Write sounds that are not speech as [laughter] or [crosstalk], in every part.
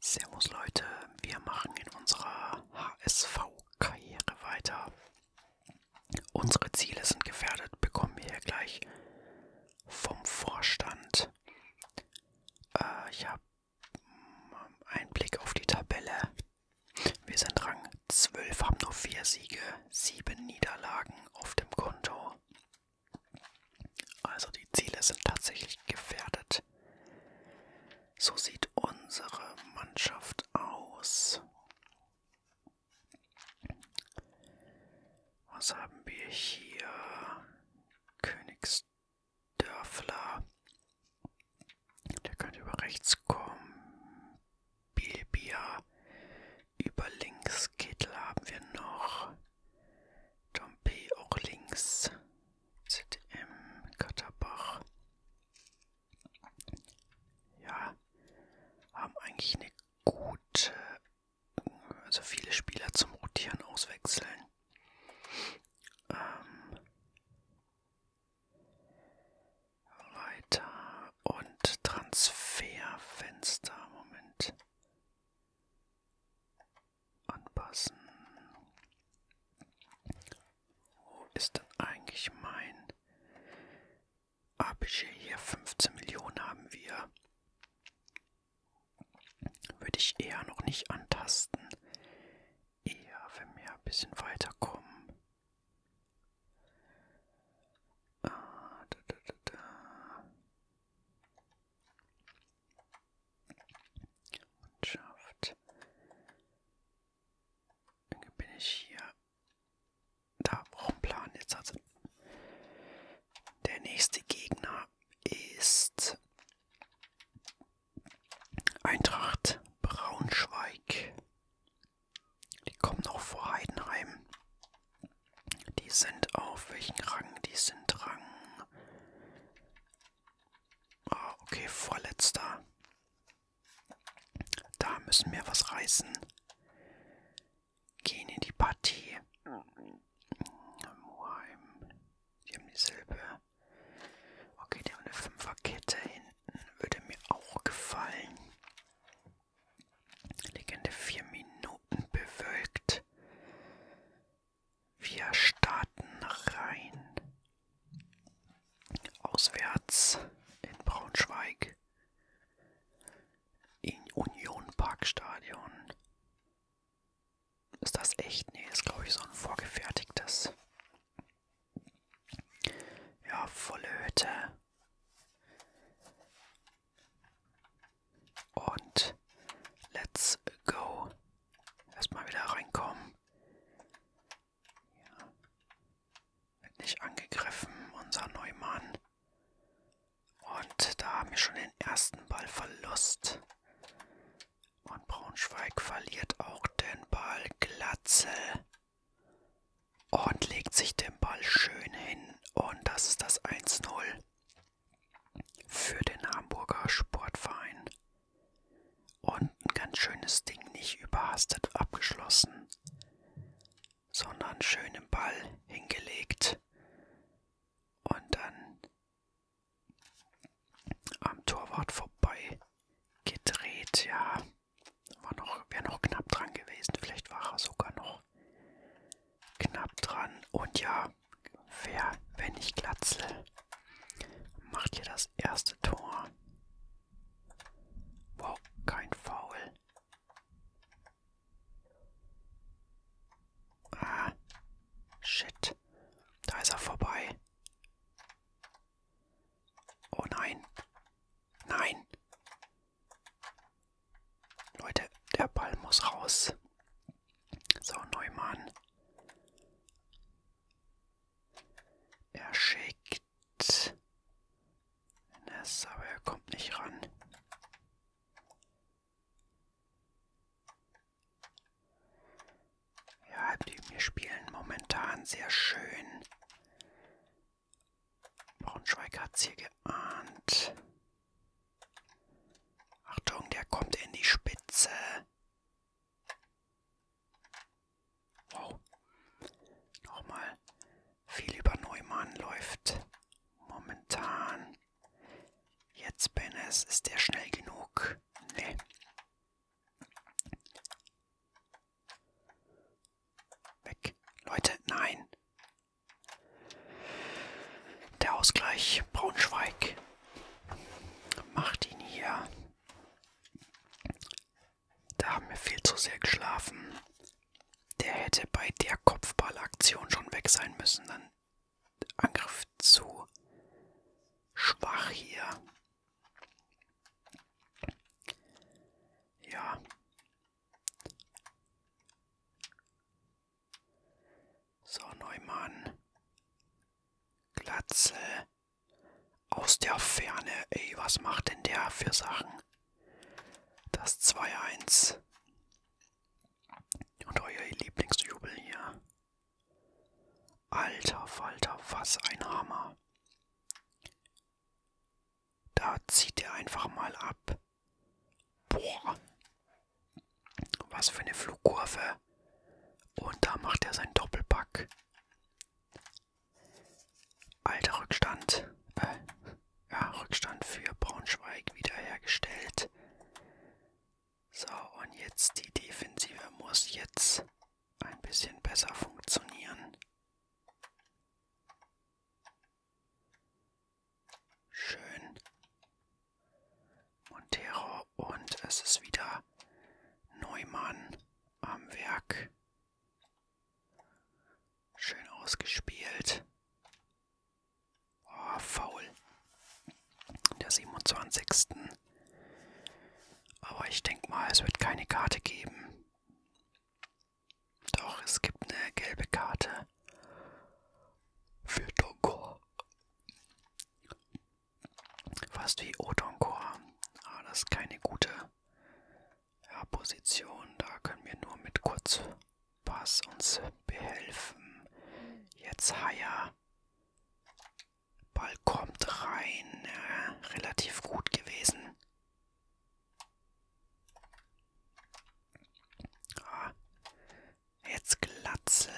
Servus Leute, wir machen in unserer HSV-Karriere weiter. Unsere Ziele sind gefährdet, bekommen wir hier gleich vom Vorstand. Äh, ich habe einen Blick auf die Tabelle. Wir sind Rang 12, haben nur 4 Siege, 7 Niederlagen auf dem Konto. Also die Ziele sind tatsächlich gefährdet. So sieht unsere Mannschaft aus. Was haben wir hier? Königsdörfler. Der könnte über rechts kommen. Bilbia. Über links Kittel haben wir noch. Dompe auch links sind im Katterbach. Ja, haben eigentlich eine gute, also viele Spieler zum Rotieren auswechseln. Ähm, weiter und Transferfenster. Moment anpassen. Wo ist denn eigentlich mein Budget hier? 15 Millionen haben wir. Würde ich eher noch nicht antasten. Eher, wenn wir ein bisschen weiterkommen. Ah, und schafft. Irgendwie bin ich hier. Da brauchen Plan jetzt also. Der nächste Gegner ist Eintracht Braunschweig. Die kommen auch vor Heidenheim. Die sind auf welchen Rang? Die sind Rang Ah, okay, vorletzter. Da müssen wir was reißen. Gehen in die Partie. Moheim. Die haben dieselbe. Okay, die haben eine Fünferkette hinten. Würde mir auch gefallen. Legende 4 Minuten bewölkt. Wir starten rein. Auswärts in Braunschweig. In Union Park Stadion. Ist das echt? Nee, ist glaube ich so ein vorgefertigtes. Ja, volle Hütte. Und let's go. Erstmal wieder reinkommen. Ja. Wird nicht angegriffen, unser Neumann. Und da haben wir schon den ersten Ballverlust. Und Braunschweig verliert auch den Ball Glatzel. Und legt sich den Ball schön hin. Und das ist das 1-0 für den Hamburger Sportverein. Und ein ganz schönes Ding, nicht überhastet abgeschlossen, sondern schön im Ball hingelegt und dann am Torwart vorbei gedreht. Ja, war noch, wäre noch knapp dran gewesen, vielleicht war er sogar noch knapp dran. Und ja, wer, wenn nicht Glatzel, macht hier das erste Tor. Wow, kein Foul. Ah, shit. Da ist er vorbei. Oh nein. Nein. Leute, der Ball muss raus. So, Neumann. Er schickt Ness, aber er kommt nicht ran. Ja, die wir spielen momentan sehr schön. Braunschweig hat es hier geahnt. Achtung, der kommt in die Spitze. Wow. Nochmal. Viel über Neumann läuft momentan. Jetzt bin es. Ist der schnell genug? Nee. Weg. Leute, nein. Der Ausgleich Braunschweig macht ihn hier. Da haben wir viel zu sehr geschlafen. Der hätte bei der Kopfballaktion schon weg sein müssen. Dann Angriff zu schwach hier. Ja. So, Neumann. Glatze. Aus der Ferne. Ey, was macht denn der für Sachen? Das 2-1. Und euer Lieblingsjubel hier. Alter Falter, was ein Hammer. Da zieht er einfach mal ab. Boah, was für eine Flugkurve. Und da macht er seinen Doppelpack. Alter Rückstand. Äh, ja, Rückstand für Braunschweig wiederhergestellt. So, und jetzt die Defensive muss jetzt ein bisschen besser funktionieren. Schön. Montero und es ist wieder Neumann am Werk. Schön ausgespielt. Oh, faul. Der 27. Aber ich denke mal, es wird keine Karte geben. Doch, es gibt eine gelbe Karte für Donkor. Fast wie Odonkor. Ah, das ist keine gute ja, Position. Da können wir nur mit Kurzpass uns behelfen. Jetzt Haya. Ball kommt rein. Ja, relativ gut gewesen. Ah, Jetzt Glatze.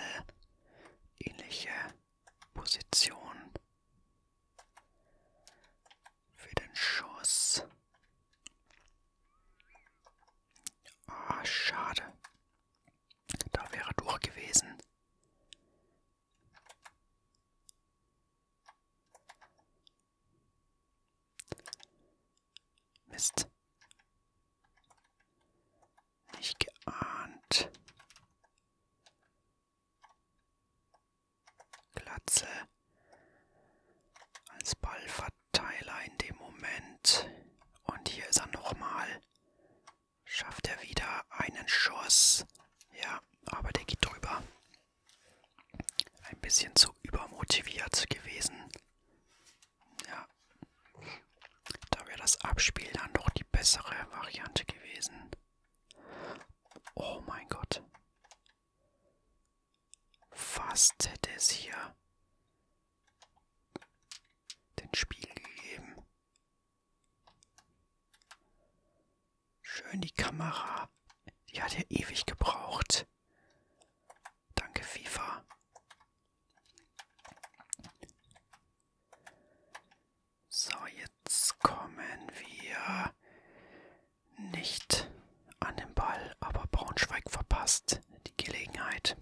Ähnliche Position. Für den Schuss. Ah, oh, schade. Da wäre durch gewesen. Mist. Nicht geahnt. Glatze als Ballverteiler in dem Moment. Und hier ist er nochmal. Schafft er wieder einen Schuss. Ja, aber der geht drüber. Ein bisschen zu übermotiviert gewesen. Ja. Da wäre das Abspiel dann doch die bessere Variante gewesen. Oh mein Gott. Fast hätte es hier den Spiel gegeben. Schön die Kamera. Die hat ja ewig gebraucht. Danke, FIFA. So, jetzt kommen wir nicht an den Ball, aber Braunschweig verpasst die Gelegenheit.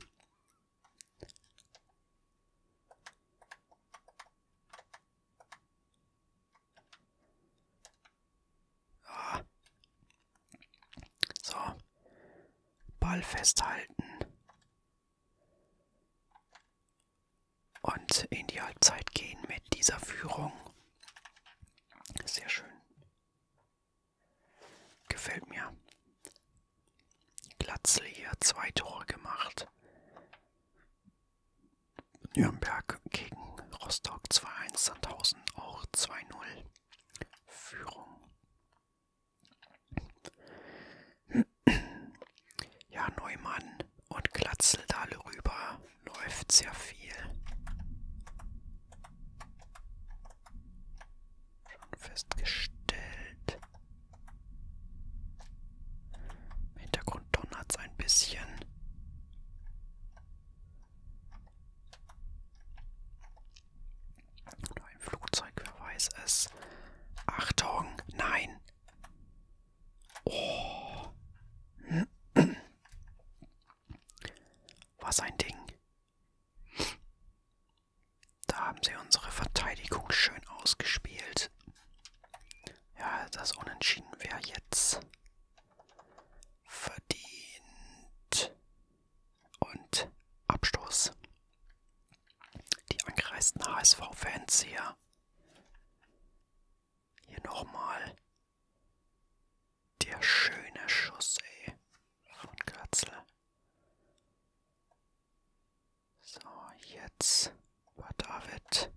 Ah. So, Ball festhalten. Und in die Halbzeit gehen mit dieser Führung. Sehr schön. Gefällt mir. Glatzle hier zwei Tore gemacht. Nürnberg gegen Rostock 2-1, Sandhausen auch 2-0. Führung. [clears throat] Ja, Neumann und Glatzel da rüber läuft sehr viel. Schon festgestellt. Im Hintergrund donnert es ein bisschen. Oder ein Flugzeug, wer weiß es. Achtung, nein. Oh. Was ein Ding. Da haben sie unsere Verteidigung schön ausgespielt. Ja, das Unentschieden wäre jetzt verdient und Abstoß. Die angereisten HSV-Fans hier. Hier nochmal der schöne Schuss ey, von Götzl. So, jetzt war David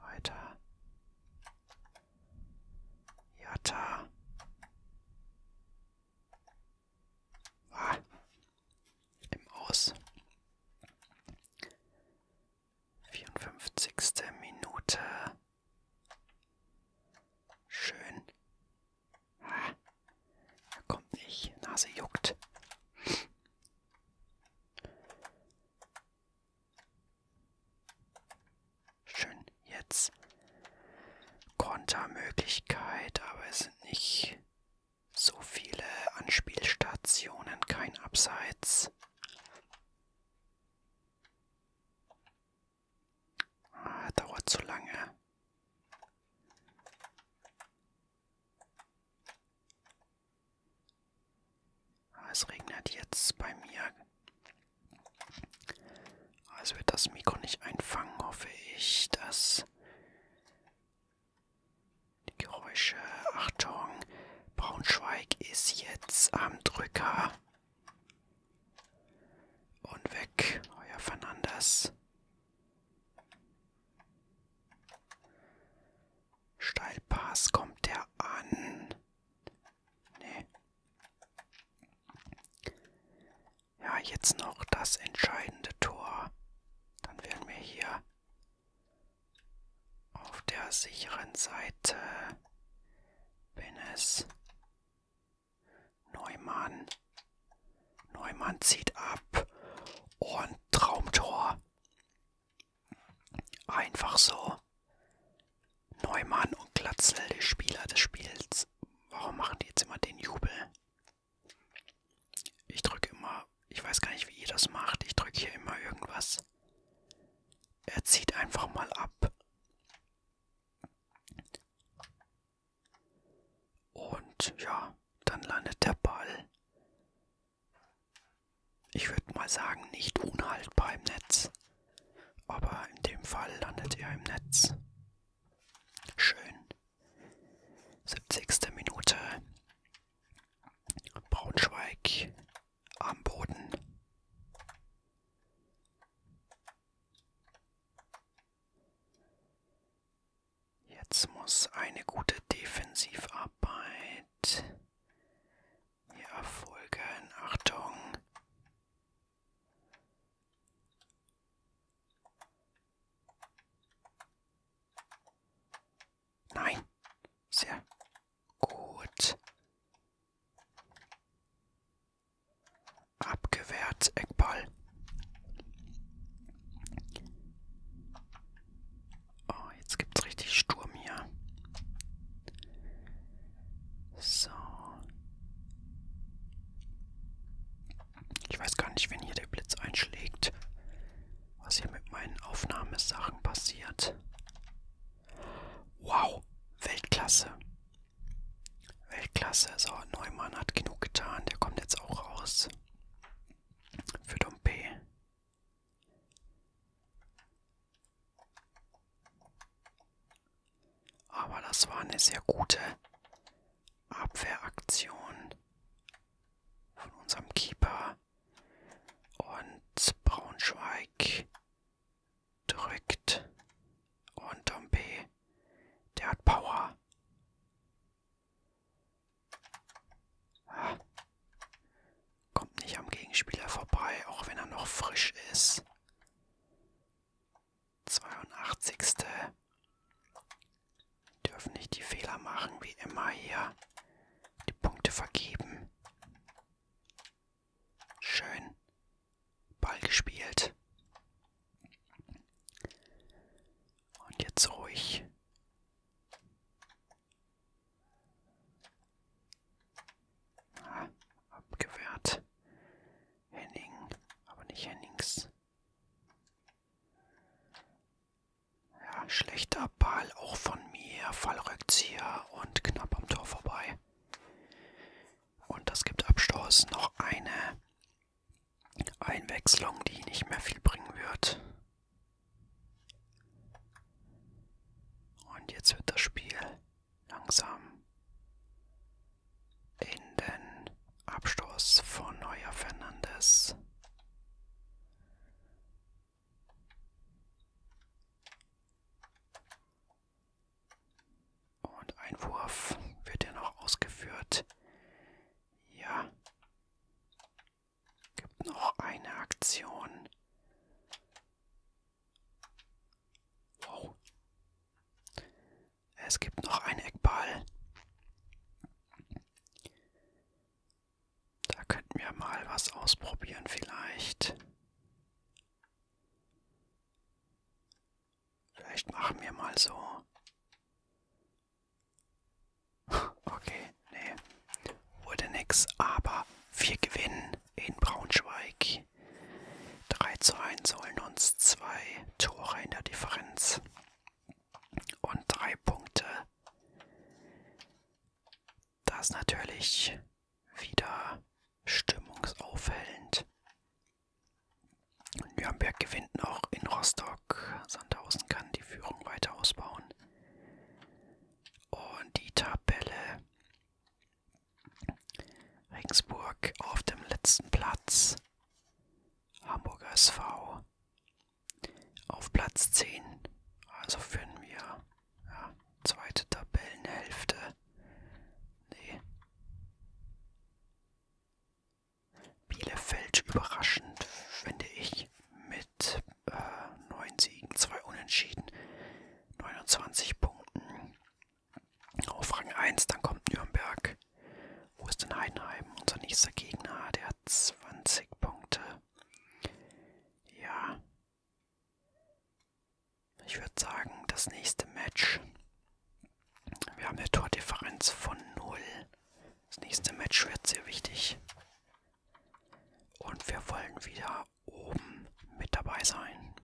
weiter. Jatta. Ah, Im Aus. 54. Minute. Schön. Ah, er kommt nicht. Nase juckt. Schön, jetzt. Kontermöglichkeit, aber es sind nicht so viele Anspielstationen, kein Abseits. Ah, dauert zu lange. Ah, es regnet jetzt bei mir also wird das Mikro nicht einfangen, hoffe ich, dass die Geräusche. Achtung, Braunschweig ist jetzt am Drücker. Und weg, euer Fernandes. Steilpass kommt der an. Nee, ja, jetzt noch das entscheidende Tor. Dann werden wir hier auf der sicheren Seite, wenn es Neumann. Neumann zieht ab und Traumtor. Einfach so. Neumann und Glatzel, die Spieler des Spiels. Warum machen die jetzt immer den Jubel? Ich drücke immer, ich weiß gar nicht, wie ihr das macht. Ich drücke hier immer irgendwas. Er zieht einfach mal ab. Und ja, dann landet der Ball. Ich würde mal sagen, nicht unhaltbar im Netz aber in dem Fall landet er im Netz. Schön. 70. Minute. Braunschweig am Boden. Jetzt muss eine gute Defensivarbeit hier erfolgen. Achtung. Nein. Sehr gut. Abgewehrt, Eckball. Oh, jetzt gibt's richtig Sturm hier. So. Ich weiß gar nicht, wenn hier der Blitz einschlägt, was hier mit meinen Aufnahmesachen passiert. Wow, Weltklasse. Weltklasse. So, Neumann hat genug getan. Der kommt jetzt auch raus. Für Dompe. Aber das war eine sehr gute Abwehraktion von unserem Keeper. Und Braunschweig drückt. Und Dompe, der hat Power. Ja. Ah. Kommt nicht am Gegenspieler vorbei, auch wenn er noch frisch ist. 82. Dürfen nicht die Fehler machen, wie immer hier. Die Punkte vergeben. Schön. Ball gespielt. Und jetzt ruhig. Ah, abgewehrt. Henning, aber nicht Hennings. Ja, schlechter Ball auch von mir. Fallrückzieher und knapp am Tor vorbei. Und das gibt Abstoß. Noch eine Einwechslung, die nicht mehr viel bringen wird. Und jetzt wird das Spiel langsam in den Abstoß von Neuer Fernandes. Und ein Wurf wird ja noch ausgeführt. Ja. Gibt noch eine Aktion. Wow. Es gibt noch einen Eckball. Da könnten wir mal was ausprobieren vielleicht. Vielleicht machen wir mal so. [laughs] Okay, nee. Wurde nix, aber wir gewinnen in Braunschweig. 3 zu 1 holen uns zwei Tore in der Differenz und drei Punkte. Das ist natürlich wieder stimmungsaufhellend. Nürnberg gewinnt noch in Rostock. Sandhausen kann die Führung weiter ausbauen. Und die Tabelle Regensburg auf dem letzten Platz. Hamburger SV auf Platz 10. Also führen wir ja, zweite Tabellenhälfte. Nee. Bielefeld überraschend, finde ich, mit äh, 9 Siegen, 2 Unentschieden, 29 Punkten auf Rang 1, dann kommt Nürnberg. Wo ist denn Heidenheim? Unser nächster Gegner, der hat 20 Punkte. Ja. Ich würde sagen, das nächste Match. Wir haben eine Tordifferenz von 0. Das nächste Match wird sehr wichtig. Und wir wollen wieder oben mit dabei sein.